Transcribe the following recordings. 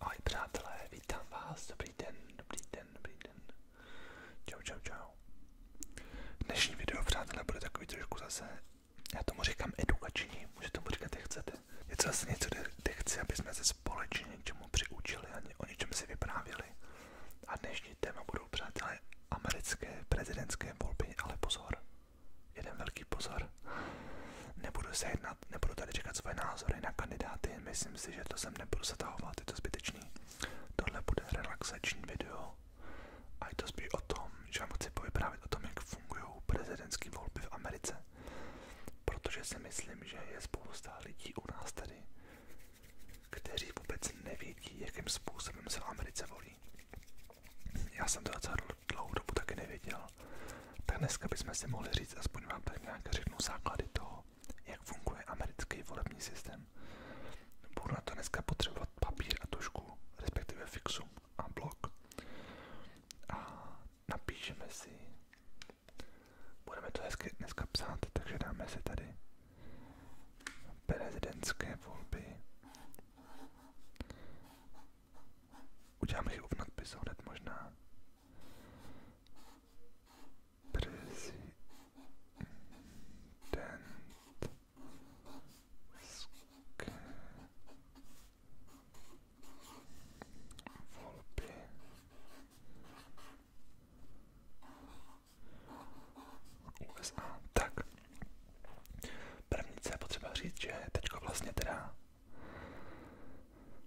Ahoj přátelé, vítám vás, dobrý den, dobrý den, dobrý den. Čau, čau, čau. Dnešní video, přátelé, bude takový trošku zase, já tomu říkám edukační, můžete tomu říkat, jak chcete. Je to zase něco, kde chci, aby jsme se společně něčemu přiučili a o něčem si vyprávěli. A dnešní téma budou, přátelé, americké prezidentské volby, ale pozor, jeden velký pozor. Nebudu se jednat, nebudu tady čekat své názory na kandidáty, myslím si, že to sem nebudu zatahovat, je to zbytečný. Tohle bude relaxační video a je to spíš o tom, že vám chci povyprávět o tom, jak fungují prezidentské volby v Americe. Protože si myslím, že je spousta lidí u nás tady, kteří vůbec nevědí, jakým způsobem se v Americe volí. Já jsem to docela dlouhou dobu taky nevěděl, tak dneska bychom si mohli říct, aspoň vám tady nějaké řeknu základy toho, jak funguje americký volební systém. Budu na to dneska potřebovat papír a tušku, respektive fixum a blok. A napíšeme si, budeme to hezky dneska psát, takže dáme si tady prezidentské volby Udělám chybu v nadpisu hned možná. Prezident Sk... USA. Tak, První, co je potřeba říct, že teďko vlastně teda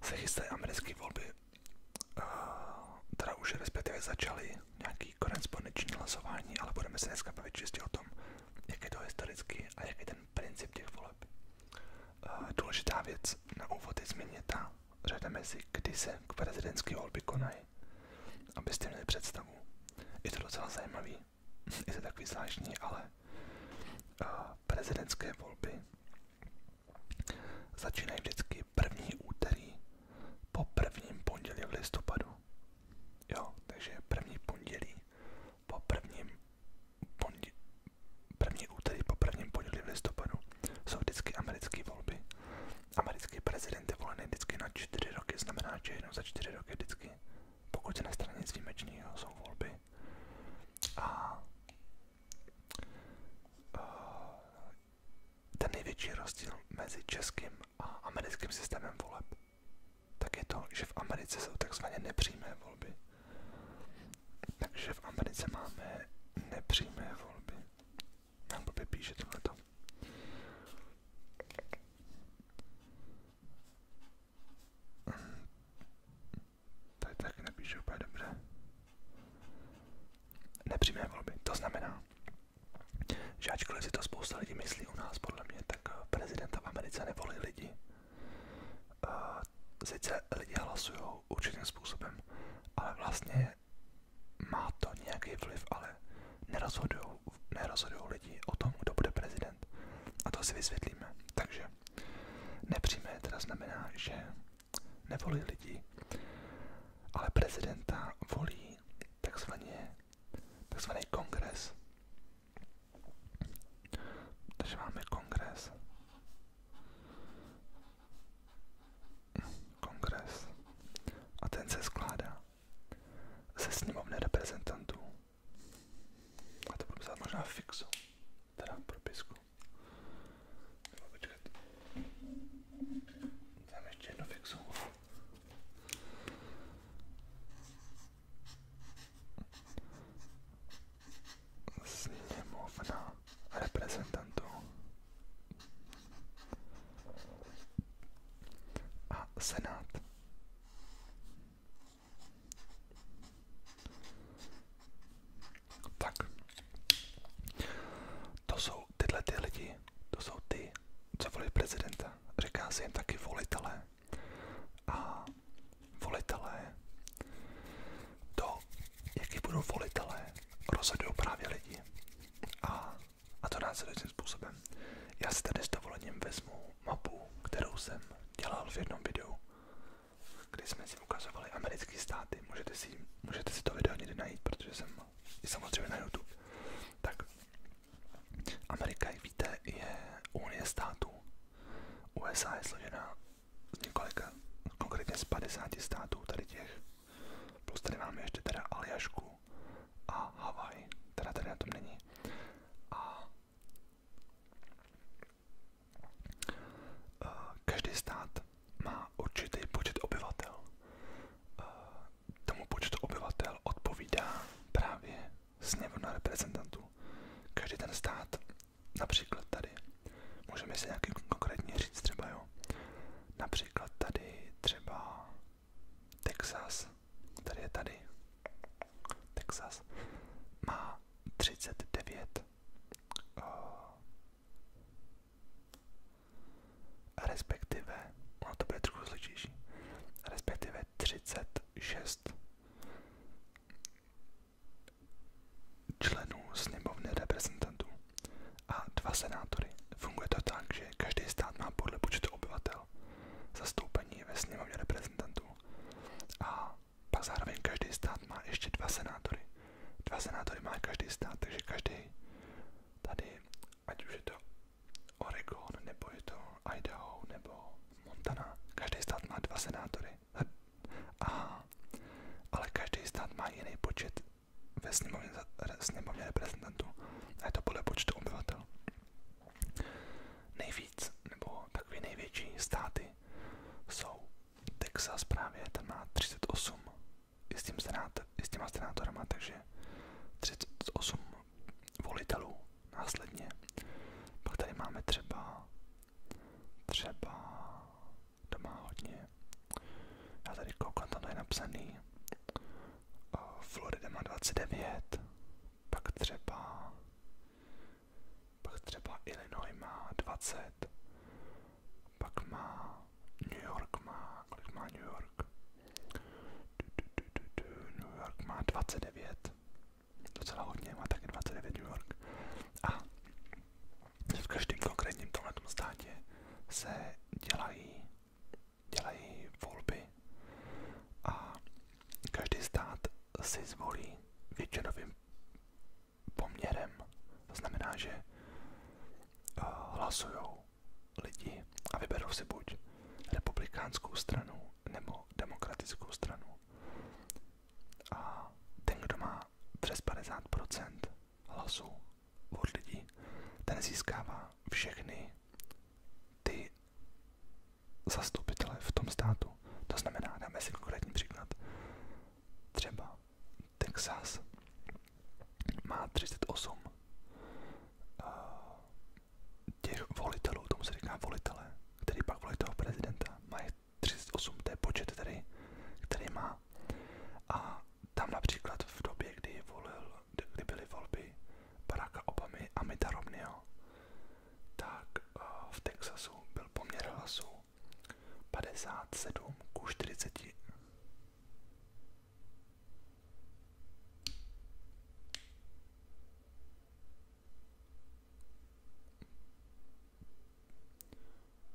se chystají americké volby, teda už respektive začaly nějaký korespondenční hlasování, ale budeme se dneska bavit čistě o tom, jak je to historicky a jak je ten princip těch voleb. Důležitá věc na úvod je změně ta, řada mezi, kdy se prezidentské volby konají, abyste měli představu. Je to docela zajímavý. je to takový zvláštní, ale uh, prezidentské volby začínají vždycky první úterý po prvním pondělí v listopadu. Jo, takže první pondělí po prvním pondělí, první úterý po prvním pondělí v listopadu jsou vždycky americké volby. Americký prezident je volený vždycky na čtyři roky, znamená, že jednou za čtyři roky vždycky pokud se nestane nic výjimečného, jsou volby. A eh, ten největší rozdíl mezi českým a americkým systémem voleb, tak je to, že v Americe jsou takzvané nepřímé volby. Takže v Americe máme nepřímé volby. Nám blbě píše tohleto. Tady taky napíšu úplně dobře. Nepřímé volby. To znamená, že ačkoliv si to spousta lidí myslí u nás, podle mě, tak eh, prezidenta v Americe nevolí lidi. Eh, sice lidi hlasují určitým způsobem, ale vlastně má to nějaký vliv, ale nerozhodují nerozhodují lidi o tom, kdo bude prezident. A to si vysvětlíme. Takže nepřímé teda znamená, že nevolí lidi, ale prezidenta volí takzvaně, takzvaný kongres. Takže máme kongres. Kongres. A ten se skládá ze sněmovny reprezentantů a to budu psát možná fixu, teda propisku. Jo, počkat. Dám ještě jednu fixu. Sněmovna reprezentantů a senát tak. To jsou tyhle ty to jsou ty, co volí prezidenta. Říká se jim taky volitelé. A volitelé, to, jaký budou volitelé, rozhodují právě lidi. A, a to následujícím způsobem. Já si tady s dovolením vezmu mapu, kterou jsem dělal v jednom videu, kdy jsme si ukazovali americké státy. Můžete si, můžete si to video někdy najít, protože jsem i samozřejmě na YouTube. Tak Amerika, jak víte, je unie států. USA je složená z několika, konkrétně z 50 států tady těch. Plus tady máme ještě teda Aljašku a Havaj, teda tady na tom není. A Eh, každý stát má určitý počet obyvatel. Eh, tomu počtu obyvatel odpovídá právě sněmovna reprezentantů. Každý ten stát, například tady, můžeme si nějaký konkrétně říct třeba, jo. Například tady třeba Texas, který je tady, Texas, má 39 uh, eh, respektive, ono to bude trochu složitější, respektive 36 členů sněmovny reprezentantů a dva senátory. Funguje to tak, že každý stát má podle počtu obyvatel zastoupení ve sněmovně reprezentantů. A pak zároveň každý stát má ještě dva senátory. Dva senátory má každý stát, takže každý tady, ať už je to Oregon, nebo je to Idaho, nebo Montana, každý stát má dva senátory. A, ale každý stát má jiný počet ve sněmovně, sněmovně reprezentantů. A je to podle počtu obyvatel. Nejvíc, nebo takové největší státy jsou Texas právě, tam má 38 i s, tím senát, i s těma senátorama, takže 38 volitelů následně. Pak tady máme třeba, třeba doma hodně, já tady koukám, tam to je napsaný, eh, Florida má 29, pak třeba, pak třeba Illinois má 20, pak má New York má, kolik má New York? New York má 29, docela hodně, má taky 29 New York. A v každém konkrétním tomhle státě se dělají dělají volby a každý stát si zvolí většinovým poměrem. To znamená, že eh, hlasují lidi a vyberou si buď republikánskou stranu nebo demokratickou stranu. A ten, kdo má přes 50% hlasů od lidí, ten získává všechny ty zastupitele v tom státu. To znamená, dáme si konkrétní příklad. Třeba Texas má 38 eh, těch volitelů, tomu se říká volitele, který pak volí toho prezidenta. Má 38, to je počet, který, který má. A tam například v době, kdy, volil, kdy byly volby Baracka Obamy a Mita Romneyho, tak eh, v Texasu byl poměr hlasů 57 ku 40.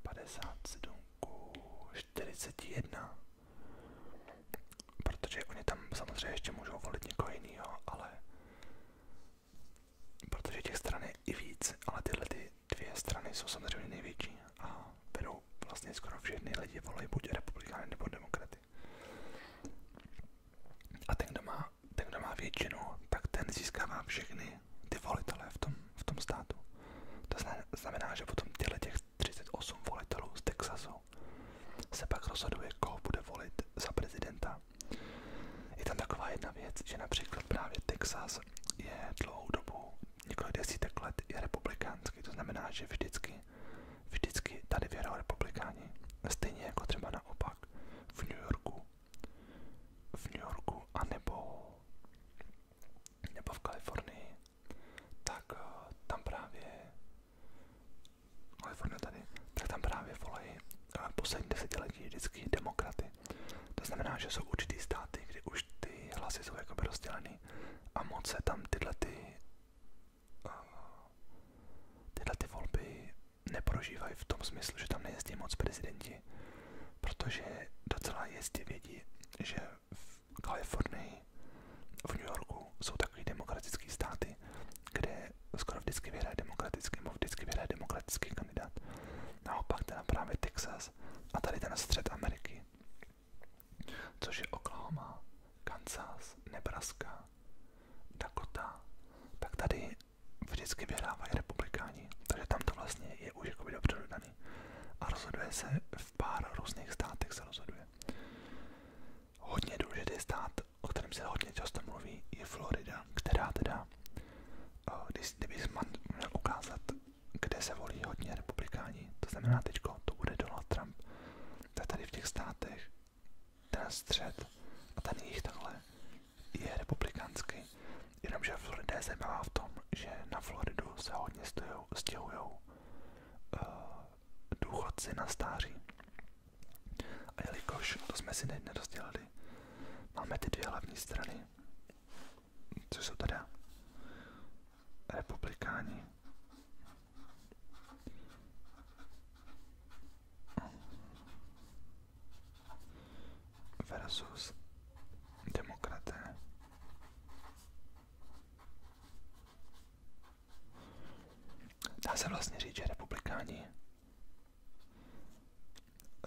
Padesát sedm ku čtyřiceti jedna protože oni tam samozřejmě ještě můžou volit někoho jiného, ale protože těch stran je i víc, ale tyhle ty dvě strany jsou samozřejmě největší a vedou vlastně skoro všechny lidi volají buď republikány nebo demokraty. A ten kdo, má, ten, kdo má většinu, tak ten získává všechny ty volitele v tom, v tom státu. To znamená, že potom těchto těch 38 volitelů z Texasu stranu, se pak rozhoduje, koho bude volit za prezidenta. Je tam taková jedna věc, že například právě Texas je dlouhou dobu, několik desítek let, je republikánský, to znamená, že vždycky, vždycky tady vyhrál republikáni, stejně jako třeba naopak v New Yorku, v New Yorku a nebo, nebo v Kalifornii, tak eh, tam právě Kalifornie forma tady, tak tam právě volají poslední desetiletí vždycky demokraty. To znamená, že jsou určitý státy, kdy už ty hlasy jsou jakoby rozdělený a moc se tam tyhle ty, uh, tyhle ty volby neprožívají v tom smyslu, že tam nejezdí moc prezidenti, protože docela jezdí vědí, že v Kalifornii, v New Yorku jsou takový demokratický státy, kde skoro vždycky vyhraje demokratický, nebo vždycky vyhraje demokratický kandidát. Naopak teda právě Texas a tady ten střed Ameriky, což je Oklahoma, Kansas, Nebraska, Dakota, tak tady vždycky vyhrávají republikáni, takže tam to vlastně je už jakoby dobře dodaný. A rozhoduje se v pár různých státech se rozhoduje. Hodně důležitý stát, o kterém se hodně často mluví, je Florida, která teda, eh, když, kdybych měl ukázat, kde se volí hodně republikáni, to znamená teďko, to bude Donald Trump, tak tady v těch státech ten střed a ten jich takhle je republikánský, jenomže Florida je zajímavá v tom, že na Floridu se hodně stěhují uh, eh, důchodci na stáří. A jelikož to jsme si nerozdělali, máme ty dvě hlavní strany, co jsou teda republikáni versus demokraté. Dá se vlastně říct, že republikáni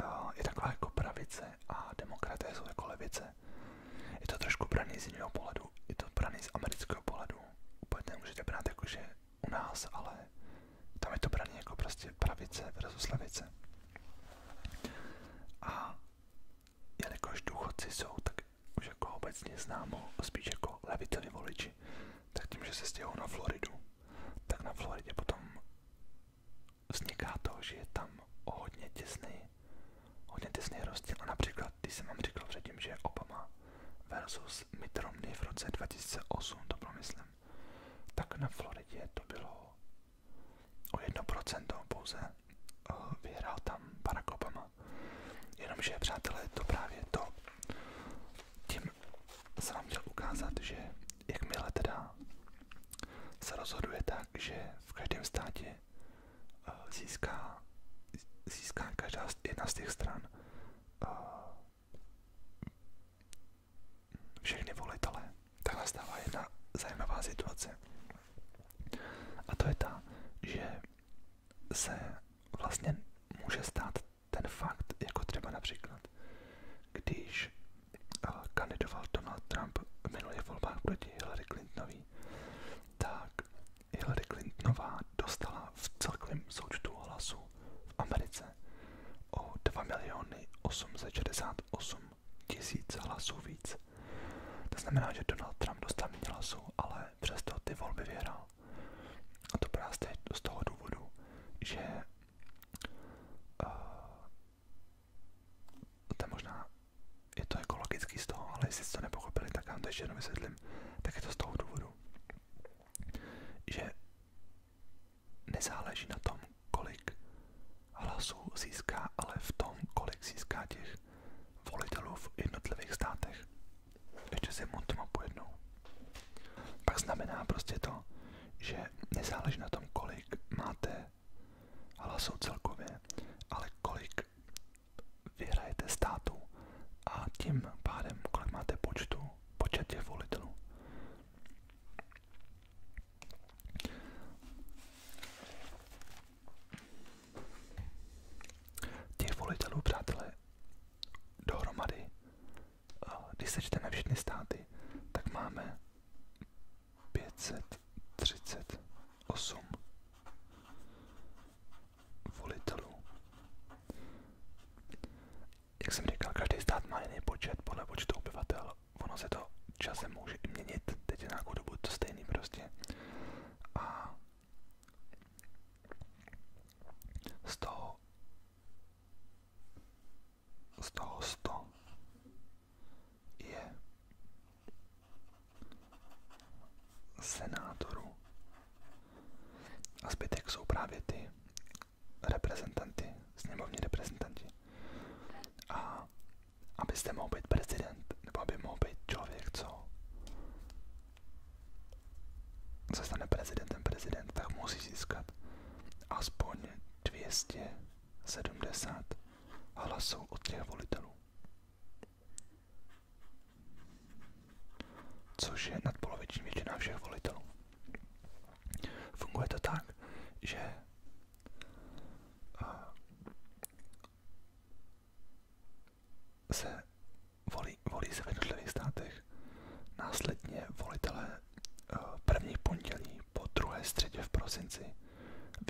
eh, je taková jako pravice a demokraté jsou jako levice. Je to trošku braný z jiného pohledu, je to braný z amerického pohledu. Úplně nemůžete brát jako, že u nás, ale tam je to braný jako prostě pravice versus levice. A jelikož důchodci jsou tak už jako obecně známo, spíš jako levicoví voliči, tak tím, že se stěhou na Floridu, tak na Floridě potom vzniká to, že je tam hodně těsný, hodně těsný rozdíl. A například, když jsem vám říkal předtím, že Obama versus Mitt Romney v roce 2008, to promyslím, tak na Floridě to bylo o jedno procento pouze eh, vyhrál tam Barack Obama. Jenomže, přátelé, to právě to. Tím se vám chtěl ukázat, že jakmile teda se rozhoduje tak, že v každém státě eh, získá, získá každá jedna z těch stran eh, všechny volitele, tak nastává jedna zajímavá situace. A to je ta, že se vlastně může stát ten fakt, jako třeba například, když eh, kandidoval Donald Trump v minulých volbách proti Hillary Clintonový, tak Hillary Clintonová dostala v celkovém součtu hlasů v Americe o 2 miliony 868 tisíc hlasů víc. To znamená, že Donald Trump dostal méně hlasů, ale přesto ty volby vyhrál. A to právě z toho důvodu, že uh, to je možná je to ekologický z toho, ale jestli jste to nepochopili, tak vám to ještě jednou vysvětlím, tak je to z toho důvodu, že nezáleží na tom, kolik hlasů získá, ale v tom, kolik získá těch volitelů v jednotlivých státech ještě si to mapu jednou. Pak znamená prostě to, že nezáleží na tom, kolik máte hlasů celkově, ale kolik vyhrajete státu a tím pádem, kolik máte počtu, počet těch volitelů. Těch volitelů, přátelé, dohromady, když sečteme všechny státy, tak máme 538 volitelů. Jak jsem říkal, každý stát má jiný počet podle počtu obyvatel. Ono se to časem může i měnit, teď je nějakou dobu to stejný prostě z toho z toho 100 je senátorů a zbytek jsou právě ty reprezentanty, sněmovní reprezentanti. A abyste mohl být prezident, nebo aby mohl být člověk, co se stane prezidentem prezident, tak musí získat aspoň 270 hlasů od těch volitelů. Což je nadpoloviční většina všech volitelů. Funguje to tak, že eh, se volí, volí se v jednotlivých státech. Následně volitelé eh, první pondělí po druhé středě v prosinci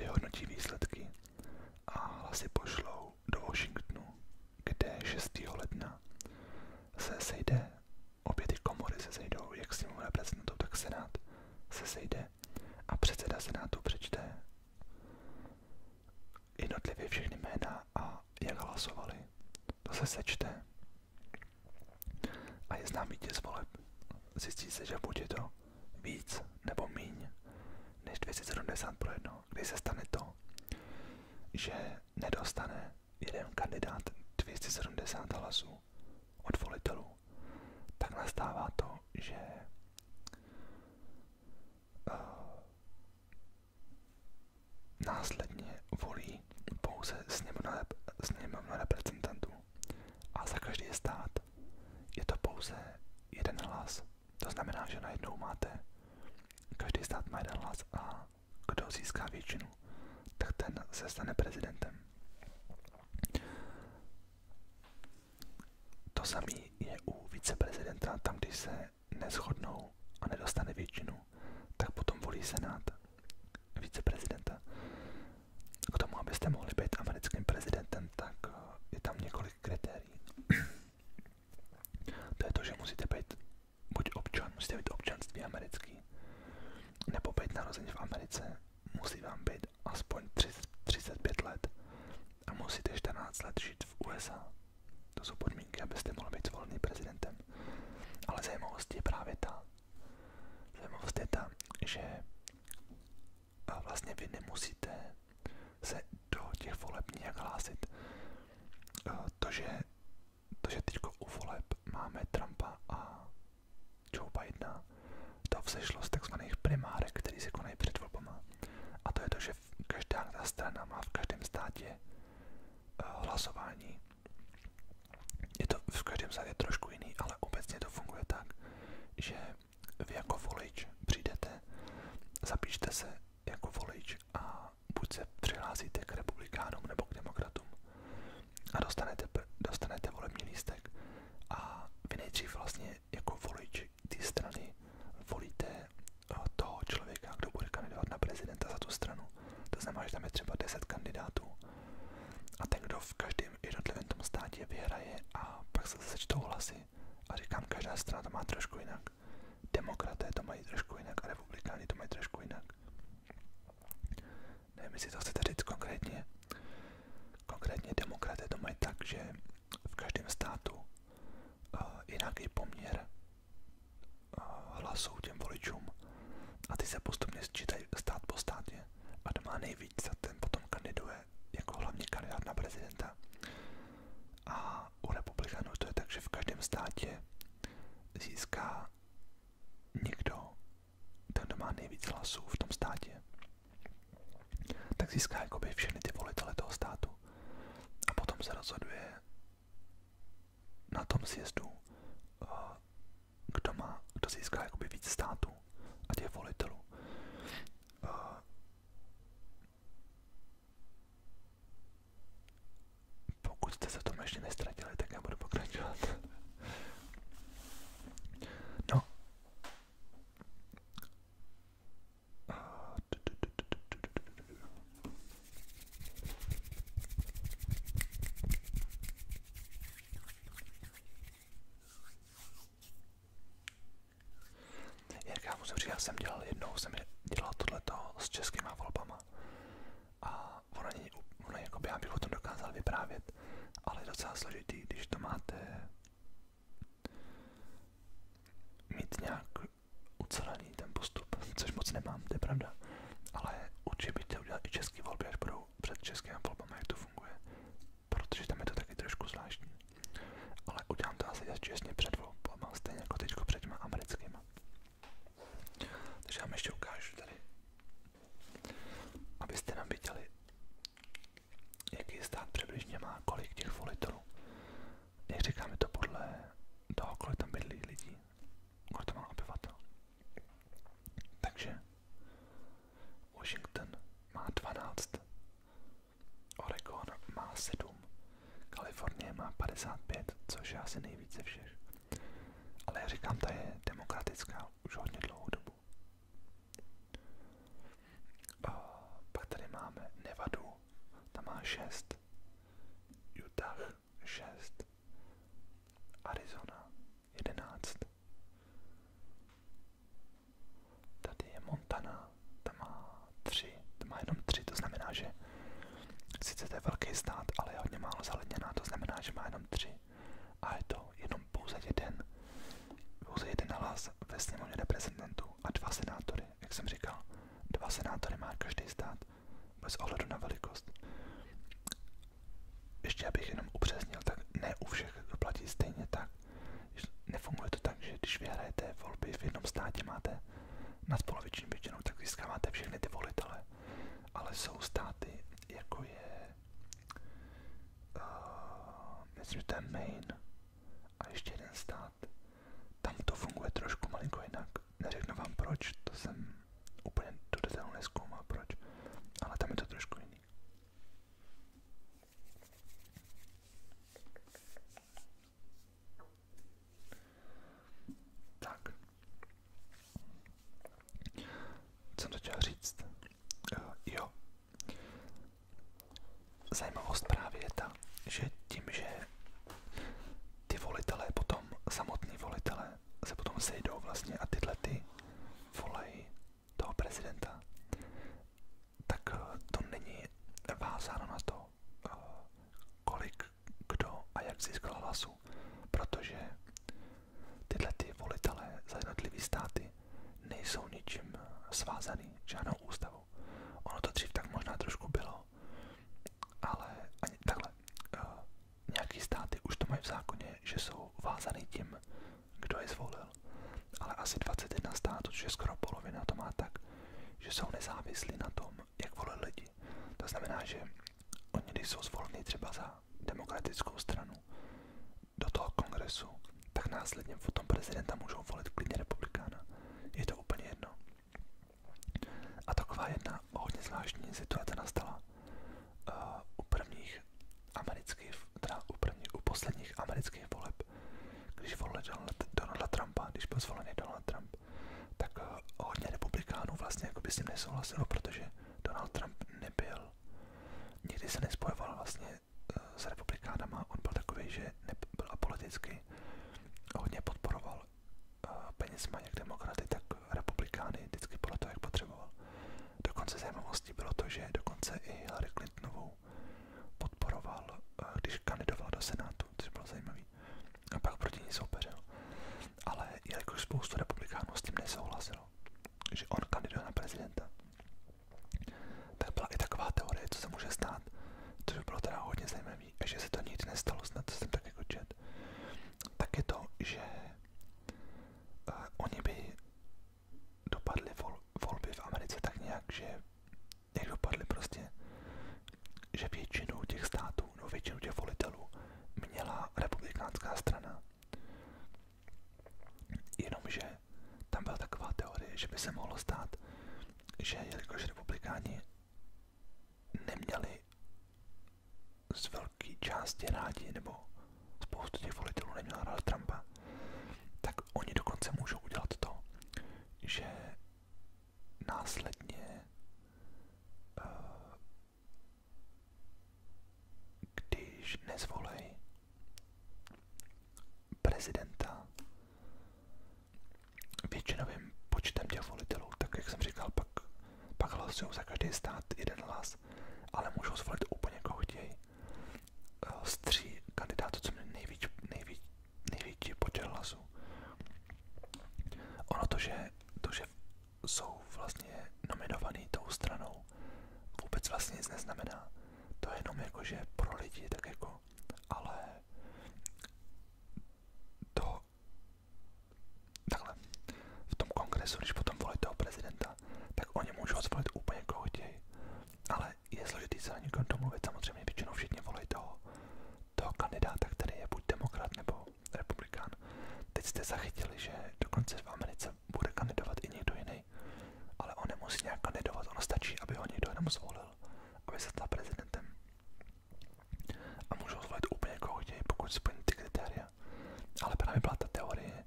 vyhodnotí výsledky a hlasy pošlou do Washingtonu, kde 6. ledna se sejde, obě ty komory se sejdou, jak sněmovna reprezentantů, tak senát se sejde a předseda senátu přečte jednotlivě všechny jména a jak hlasovali to se sečte a je znám vítěz voleb. Zjistí se, že bude to víc nebo míň než 270 pro jedno, kdy se stane to, že nedostane jeden kandidát 270 hlasů od volitelů, tak nastává to, že eh, Následně volí pouze sněmovna, sněmovna reprezentantů a za každý stát je to pouze jeden hlas. To znamená, že najednou máte, každý stát má jeden hlas a kdo získá většinu, tak ten se stane prezidentem. To samé je u viceprezidenta, tam když se se neschodnou a nedostane většinu, tak potom volí Senát viceprezidenta. K tomu, abyste mohli být americkým prezidentem, tak eh, je tam několik kritérií. to je to, že musíte být buď občan, musíte být občanství americký, nebo být narození v Americe, musí vám být aspoň 30, 35 let a musíte 14 let žít v USA. To jsou podmínky, abyste mohli být zvolený prezidentem. Ale zajímavost je právě ta, zajímavost je ta, že a vlastně vy nemusíte se do těch voleb nějak hlásit. To, že, to, že teďko u voleb máme Trumpa a Joe Bidena, to vzešlo z takzvaných primárek, které se konají před volbama. A to je to, že každá ta strana má v každém státě eh, hlasování. Je to v každém státě trošku jiný, ale obecně to funguje tak, že vy jako volič přijdete, zapíšte se jako volič a buď se přihlásíte k republikánům nebo k demokratům a dostanete, dostanete volební lístek a vy nejdřív vlastně jako volič té strany volíte eh, toho člověka, kdo bude kandidovat na prezidenta za tu stranu. To znamená, že tam je třeba 10 kandidátů. A ten, kdo v každém jednotlivém tom státě vyhraje a pak se sečtou hlasy. A říkám, každá strana to má trošku jinak. Demokraté to mají trošku jinak a republikáni to mají trošku jinak. Nevím, jestli to chcete říct konkrétně. Konkrétně demokraté to mají tak, že v každém státu uh, je nějaký poměr hlasů těm voličům a ty se postupně sčítají stát po státě a kdo má nejvíc, za ten potom kandiduje jako hlavní kandidát na prezidenta. A u republikánů to je tak, že v každém státě získá někdo, ten, doma má nejvíc hlasů v tom státě, tak získá jakoby všechny ty volitele toho státu. A potom se rozhoduje, na tom sjezdu, eh, kdo, má, kdo získá jakoby víc států a těch volitelů. Eh, pokud jste se tom ještě nestratili, tak já budu pokračovat. No, jak já musím říct, já jsem dělal jednou, jsem dělal tohleto s českýma volbama a ono, ono jako já bych o tom dokázal vyprávět, ale je docela složitý, když to máte mít nějak ucelený ten postup, což moc nemám, to je pravda. Ale určitě bych chtěl udělat i český volby, až budou před českým volbami, jak to funguje. Protože tam je to taky trošku zvláštní. Ale udělám to asi čestně před volbama, stejně jako teď před těma americkýma. Takže vám ještě ukážu tady, abyste nám viděli, jaký stát přibližně má, kolik těch volitelů jak říkám, je to podle toho, kolik tam bydlí lidí, kolik tam má obyvatel. Takže Washington má 12, Oregon má 7, Kalifornie má 55, což je asi nejvíce všech. Ale jak říkám, ta je demokratická už hodně dlouhou dobu. A pak tady máme Nevadu, ta má šest. Utah 6, Arizona 11. Tady je Montana, ta má 3, ta má jenom 3, to znamená, že sice to velký stát, ale je hodně málo zaledněná, to znamená, že má jenom 3. A je to jenom pouze jeden, pouze jeden hlas ve sněmovně reprezentantů a dva senátory jak jsem říkal, dva senátory má každý stát, bez ohledu na velikost. Ještě abych jenom upřesnil, tak ne u všech platí stejně tak. Nefunguje to tak, že když vyhrajete volby v jednom státě, máte na poloviční většinou, tak získáváte všechny ty volitele. Ale jsou státy, jako je, uh, myslím, že to je Maine a ještě jeden stát, pořád. Tam to funguje trošku malinko jinak. Neřeknu vám proč, to jsem úplně do detailu neskoumal proč, ale tam je to trošku jiný. Tak. Co to chtěl říct? Eh, jo. Zajímavost právě je ta, že tím, že ty volitelé potom, samotní volitelé, se potom sejdou vlastně a tyhle ty volají toho prezidenta, tak eh, to není vázáno na to, eh, kolik kdo a jak získal hlasu, protože tyhle ty volitelé za jednotlivý státy nejsou ničím svázaný, žádnou ústavou. Ono to dřív tak možná trošku bylo, ale ani takhle. Uh, nějaký státy už to mají v zákoně, že jsou vázaný tím, kdo je zvolil. Ale asi 21 států, což je skoro polovina, to má tak, že jsou nezávislí na tom, jak volí lidi. To znamená, že oni, když jsou zvolení třeba za demokratickou stranu do toho kongresu, tak následně potom prezidenta můžou volit klidně republikána. Je to úplně jedno. A taková jedna hodně zvláštní situace nastala uh, u prvních amerických, teda u, prvních, u posledních amerických voleb, když volili Donald, Donalda Trumpa, když byl zvolený Donald Trump, tak uh, hodně republikánů vlastně jako by s ním nesouhlasilo, protože Donald Trump nebyl, nikdy se nespojoval vlastně uh, s republikánama, on byl takový, že nebyl politicky hodně podporoval Eh, penězma jak demokraty, tak republikány vždycky podle toho, jak potřeboval. Dokonce zajímavostí bylo to, že dokonce i Hillary Clintonovou podporoval, eh, když kandidoval do Senátu, což bylo zajímavé. A pak proti ní soupeřil. Ale jelikož spoustu republikánů s tím nesouhlasilo, že on kandidoval na prezidenta, tak byla i taková teorie, co se může stát, což bylo teda hodně zajímavé zdraví a že se to nic nestalo, snad jsem tak jako čet, tak je to, že eh, oni by dopadli vol, volby v Americe tak nějak, že jak dopadly prostě, že většinu těch států, no většinu těch volitelů měla republikánská strana. Jenomže tam byla taková teorie, že by se mohlo stát, že jelikož republikáni neměli z velké části rádi, nebo spoustu těch volitelů neměla ráda Trumpa, tak oni dokonce můžou udělat to, že následně, eh, když nezvolej prezidenta, většinovým počtem těch volitelů, tak jak jsem říkal, pak, pak hlasují za každý stát jeden hlas, ale můžou zvolit úplně koho chtějí. Eh, z tří kandidátů, co měli nejvíc, nejvíc, největší počet hlasů. Ono to že, to, že jsou vlastně nominovaný tou stranou, vůbec vlastně nic neznamená. To je jenom jako, že pro lidi, tak jako, ale toho, takhle, v tom kongresu, když potom volí toho prezidenta, tak oni můžou zvolit úplně koho chtějí. Ale je složitý se na někom domluvit, samozřejmě většinou všichni volí toho, toho kandidáta, který je buď demokrat nebo republikán. Teď jste zachytili, že dokonce v Americe bude kandidovat i někdo jiný, ale on nemusí nějak kandidovat, ono stačí, aby ho někdo jenom zvolil, aby se stal prezidentem a můžou zvolit úplně jako chtějí, pokud splní ty kritéria. Ale právě byla ta teorie,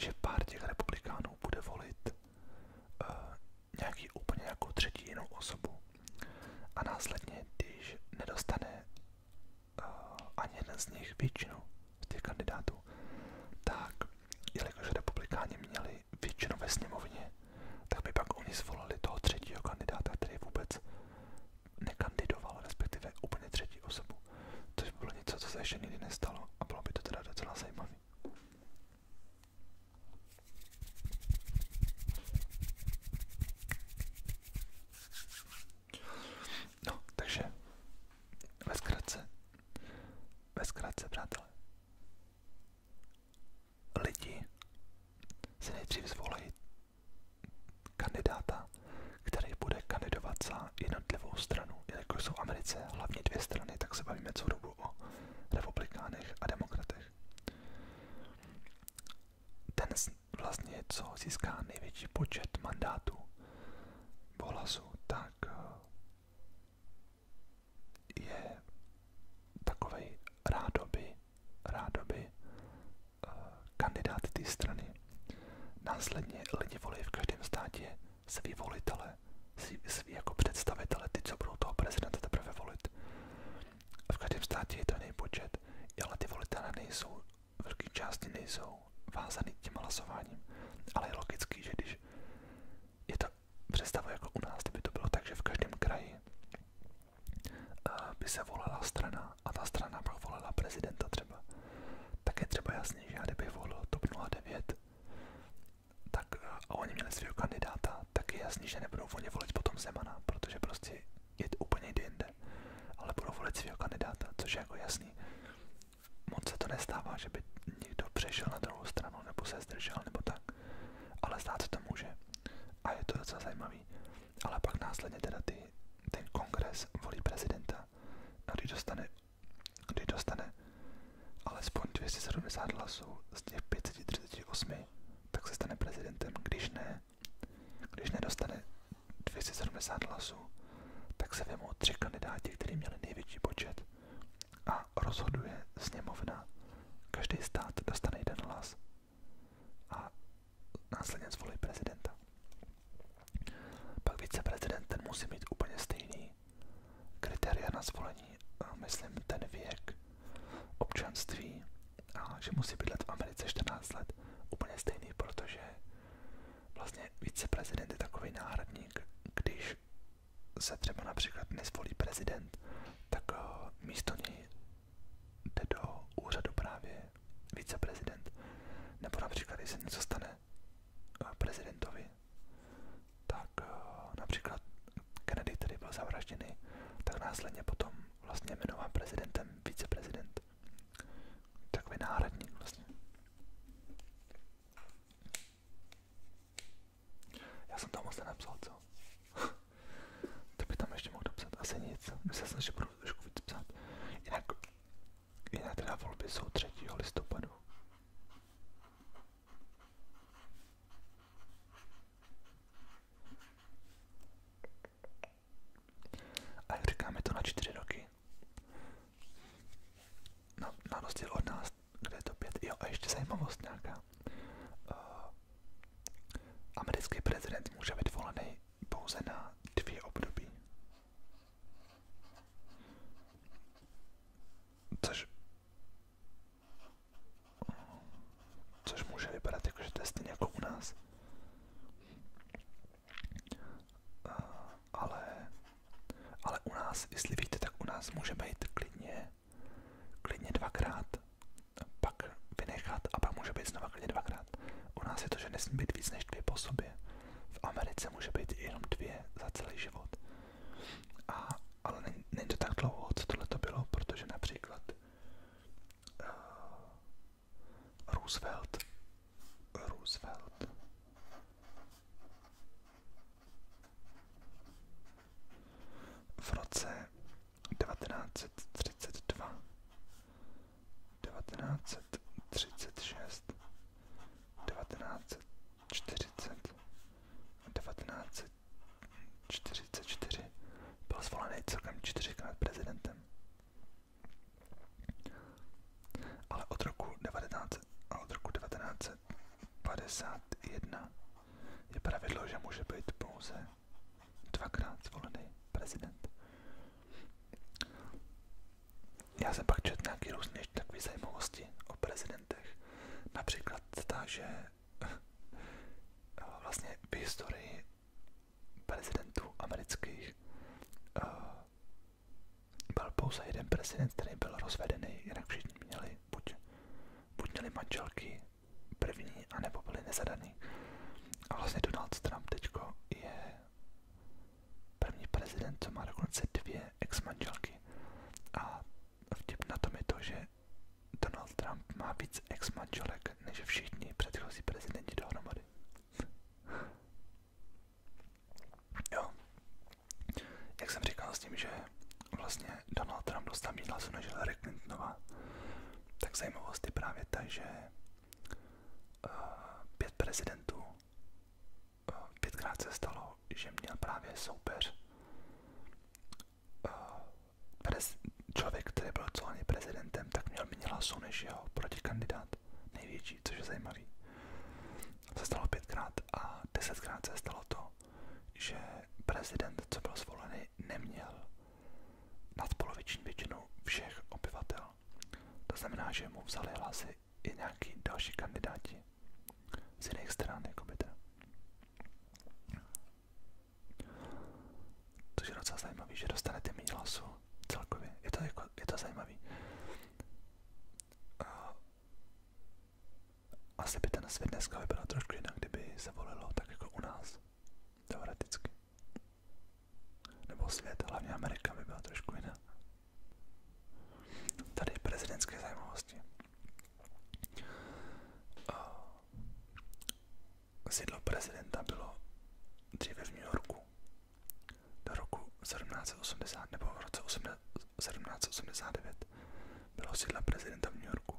že pár těch republikánů bude volit uh, nějaký úplně jako třetí jinou osobu a následně, když nedostane uh, ani jeden z nich většinu z těch kandidátů, tak jelikož republikáni měli většinu ve sněmovně, tak by pak oni zvolili toho třetího kandidáta, který vůbec nekandidoval, respektive úplně třetí osobu. Což by bylo něco, co se ještě nikdy nestalo a bylo by to teda docela zajímavé. No, takže ve zkratce, ve zkratce, přátelé, lidi si nejdřív zvolí kandidáta, který bude kandidovat za jednotlivou stranu. Jelikož jsou v Americe hlavně dvě strany, tak se bavíme co dobu o republikánech a demokratech. Ten vlastně, co získá největší počet mandátů po tak eh, je takovej rádoby, rádoby uh, té strany. Následně lidi volí v každém státě svý volitele, svý, jako představitele, ty, co budou toho prezidenta teprve volit. v každém státě je to jiný ale ty volitelé nejsou, v části nejsou vázaný tím hlasováním. Ale je logický, že když je to představu jako u nás, kdyby to bylo tak, že v každém kraji eh, by se volala strana a ta strana pak volala prezidenta třeba. Tak je třeba jasný, že já kdybych volil TOP 09 tak, eh, a oni měli svého kandidáta, tak je jasný, že nebudou oni volit potom Zemana, protože prostě je to úplně jinde, ale budou volit svého kandidáta, což je jako jasný. Moc se to nestává, že by někdo přešel na druhou stranu nebo se zdržel nebo tak ale stát se to může a je to docela zajímavý. Ale pak následně teda ty, ten kongres volí prezidenta, když dostane, když dostane alespoň 270 hlasů z těch 538, tak se stane prezidentem, když ne, když nedostane 270 hlasů, tak se vemou tři kandidáti, kteří měli největší počet a rozhoduje sněmovna Každý stát dostane jeden hlas a následně zvolí prezidenta. Pak viceprezident ten musí mít úplně stejný kritéria na zvolení, myslím ten věk, občanství a že musí být let v Americe 14 let úplně stejný, protože vlastně viceprezident je takový náhradník, když se třeba například nezvolí prezident, tak eh, místo něj jde do úřadu právě viceprezident. Nebo například, když se něco stane eh, prezidentovi, tak eh, například Kennedy, který byl zavražděný, tak následně potom vlastně jmenován prezidentem viceprezident. Takový náhradník vlastně. Já jsem tam moc nenapsal, co? to by tam ještě mohl dopsat, asi nic. Myslel jsem, že budu trošku víc Jinak, jinak teda volby jsou 3. listopadu. A říkáme to na čtyři roky. No, na, na od nás, kde to pět. Jo, a ještě zajímavost nějaká. Eh, Američana. prezident může být volený pouze na dvě období. Což, což může vypadat jako, že je stejně jako u nás. Eh, ale, ale u nás, jestli víte, tak u nás může být klidně klidně dvakrát, pak vynechat a pak může být znova klidně dvakrát. U nás je to, že nesmí být víc než dvě po sobě. V Americe může být jenom dvě za celý život. A, ale není, není to tak dlouho, co tohle to bylo, protože například uh, Roosevelt, Roosevelt, v roce 1932, 1936, 1940 a 1944 byl zvolený celkem čtyřikrát prezidentem. Ale od roku 19, a od roku 1951 je pravidlo, že může být pouze dvakrát zvolený prezident. Já jsem pak četl nějaký různé takový zajímavosti o prezidentech. Například ta, že eh, vlastně v historii prezidentů amerických eh, byl pouze jeden prezident, který byl rozvedený, jinak všichni měli buď, buď měli manželky první, anebo byli nezadaný. A vlastně Donald Trump teďko je první prezident, co má dokonce dvě ex-manželky. A vtip na tom je to, že Donald Trump má víc ex-manželek, než všichni předchozí prezidenti dohromady. jo. Jak jsem říkal s tím, že vlastně Donald Trump dostal víc hlasů než Hillary Clintonová. Tak zajímavost je právě ta, že uh, pět prezidentů uh, pětkrát se stalo, že měl právě soupeř uh, člověk, který byl celý prezidentem, tak měl méně hlasů než jeho protikandidát největší, což je zajímavý. Se stalo pětkrát a desetkrát se stalo to, že prezident, co byl zvolený, zemi neměl nadpoloviční většinu všech obyvatel. To znamená, že mu vzali hlasy i nějaký další kandidáti z jiných stran, jako by teda. Což je docela zajímavý, že dostanete méně hlasů celkově. Je to, jako, je to zajímavý asi by ten svět dneska vypadal trošku jinak, kdyby se volilo tak jako u nás, teoreticky. Nebo svět, hlavně Amerika by byla trošku jiná. Tady prezidentské zajímavosti. Sídlo prezidenta bylo dříve v New Yorku do roku 1780 nebo v roce 1789. Bylo sídlem prezidenta v New Yorku.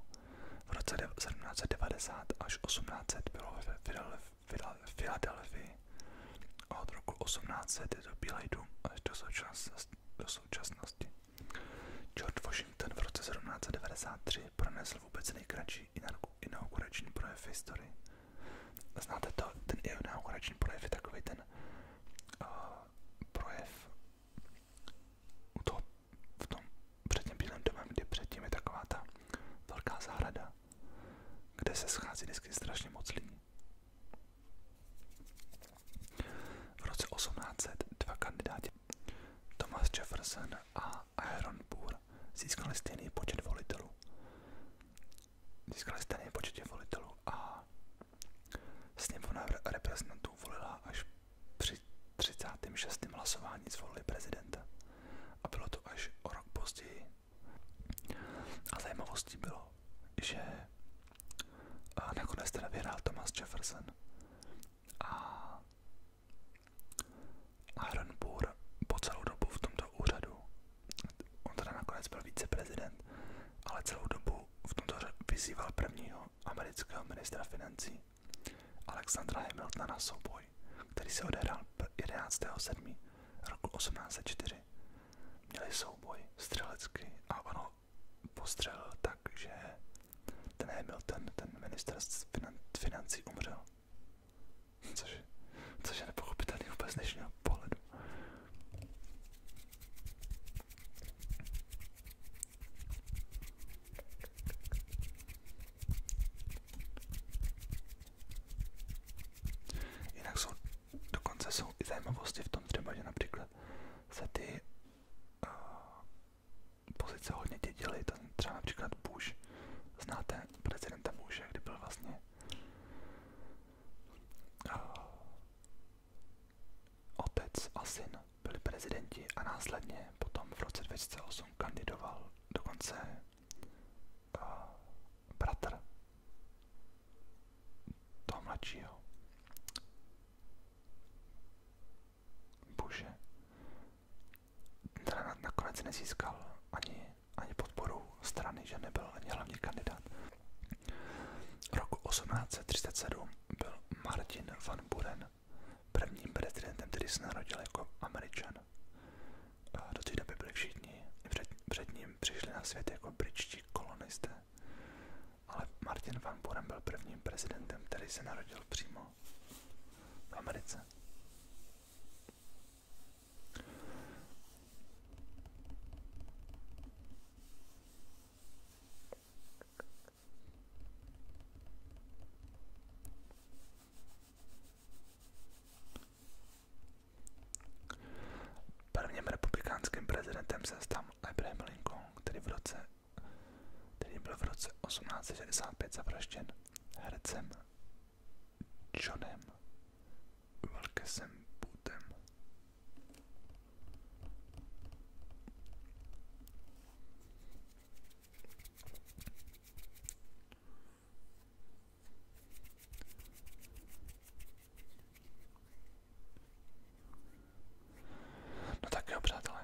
V roce 1790 až 1800 bylo ve Filadelfii a od roku 1800 je to Bílej dům až do současnosti. Do současnosti. George Washington v roce 1793 pronesl vůbec nejkratší inaugurační projev v historii. Znáte to, ten inaugurační projev je takový ten uh, projev u toho v tom před tím bílým domem, kdy předtím je taková ta velká zahrada, kde se schází vždycky strašně moc lidí. V roce 1800 dva kandidáti, Thomas Jefferson a Aaron Burr, získali stejný počet volitelů. Získali stejný počet volitelů a sněmovna reprezentantů volila až při 36. hlasování zvolili prezidenta. A bylo to až o rok později. A zajímavostí bylo, že nakonec teda vyhrál Thomas Jefferson. A Aaron Burr po celou dobu v tomto úřadu, on teda nakonec byl viceprezident, ale celou dobu v tomto úřadu vyzýval prvního amerického ministra financí Alexandra Hamiltona na souboj, který se odehrál 11.7. roku 1804. Měli souboj střelecký a ono postřelil tak, že ten Hamilton, ten minister finan, financí umřel. Což, což je nepochopitelný vůbec dnešního pohledu. Jinak jsou, dokonce jsou zajímavosti v tom třeba, že například se ty uh, pozice hodně dědily, třeba například Bush, znáte prezidenta Bushe, kdy byl vlastně uh, a syn byli prezidenti a následně potom v roce 2008 kandidoval dokonce uh, bratr toho mladšího Bushe. Teda nakonec nezískal ani, ani podporu strany, že nebyl ani hlavní kandidát. Rok 1837 byl Martin van Buren prvním prezidentem, který se narodil jako Američan. A do té doby byli všichni, před, před ním přišli na svět jako britští kolonisté. Ale Martin Van Buren byl prvním prezidentem, který se narodil přímo v Americe. Prvním republikánským prezidentem se stal Abraham Lincoln, který, v roce, který byl v roce 1865 zavražděn hercem Johnem Wilkesem Bootem. No tak, obradle.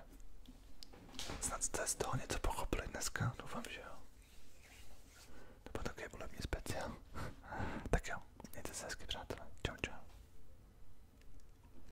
Snad ze strony co pochopili dneska, doufám, že jo. To byl takový volební speciál. tak jo, mějte se hezky, přátelé. Čau,